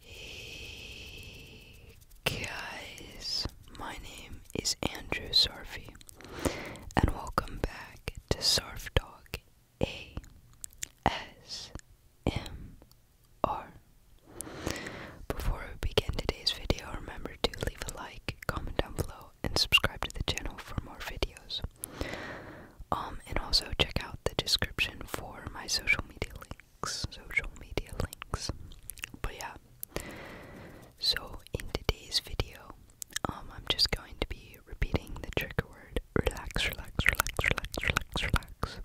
Hey guys, my name is Andrew Sarfi, and welcome back to Surf Dog. A S M R. Before we begin today's video, remember to leave a like, comment down below, and subscribe to the channel for more videos. Um, and also check out the description for my social media links links, social media links. But yeah. So in today's video, um I'm just going to be repeating the trigger word relax, relax, relax, relax, relax, relax.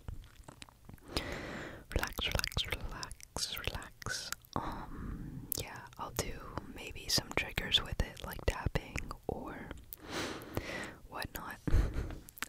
Relax, relax, relax, relax. Um yeah, I'll do maybe some triggers with it like tapping or whatnot.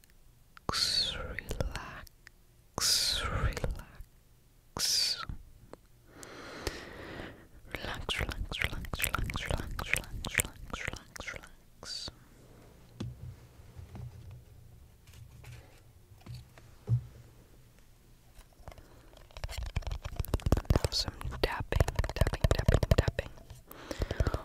relax, relax, relax. Relax, relax, relax, relax, relax, relax, relax, relax, relax. Now some tapping, tapping, tapping, tapping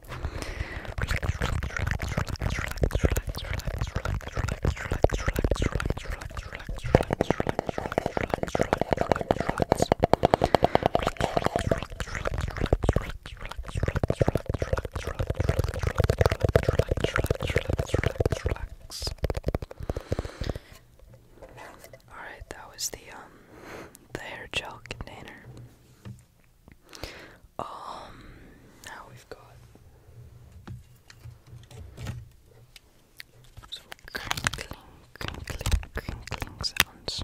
All right, that was the um the hair gel container. Um, now we've got some crinkling, crinkling, crinkling sounds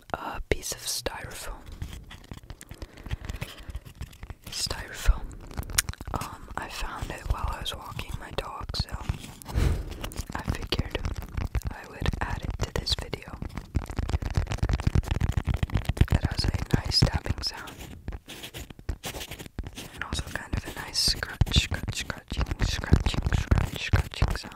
a piece of styrofoam. Styrofoam. Um, I found it while I was walking my dog, so I figured I would add it to this video. It has a nice tapping sound. And also kind of a nice scratch, scratching, scratching, scratching sound.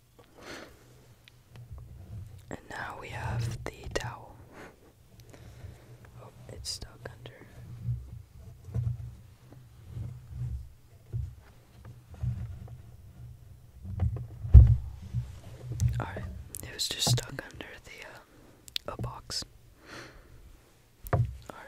And now we have the towel. Oh, it's stuck under. Alright, it was just stuck under the uh, a box. Alright.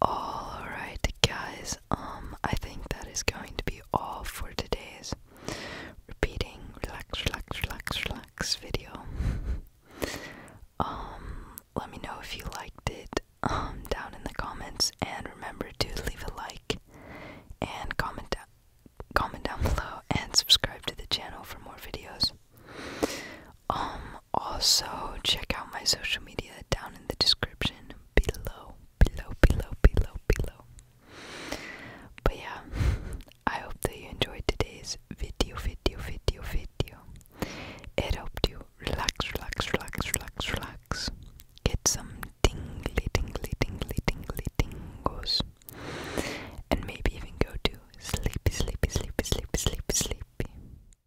Alright, guys, um, I think that is going to be all for today's repeating relax, relax, relax, relax video. um, let me know if you liked it um, down in the comments, and remember to leave a like and comment down. Comment down below and subscribe to the channel for more videos. Um, also, check out my social media down in the description below, below, below, below, below. But yeah, I hope that you enjoyed today's video, video, video, video. It helped you relax, relax, relax, relax, relax. Get some tingly, tingly, tingly, tingly, tingles. And maybe even go to sleepy, sleepy, sleepy, sleepy, sleepy, sleepy.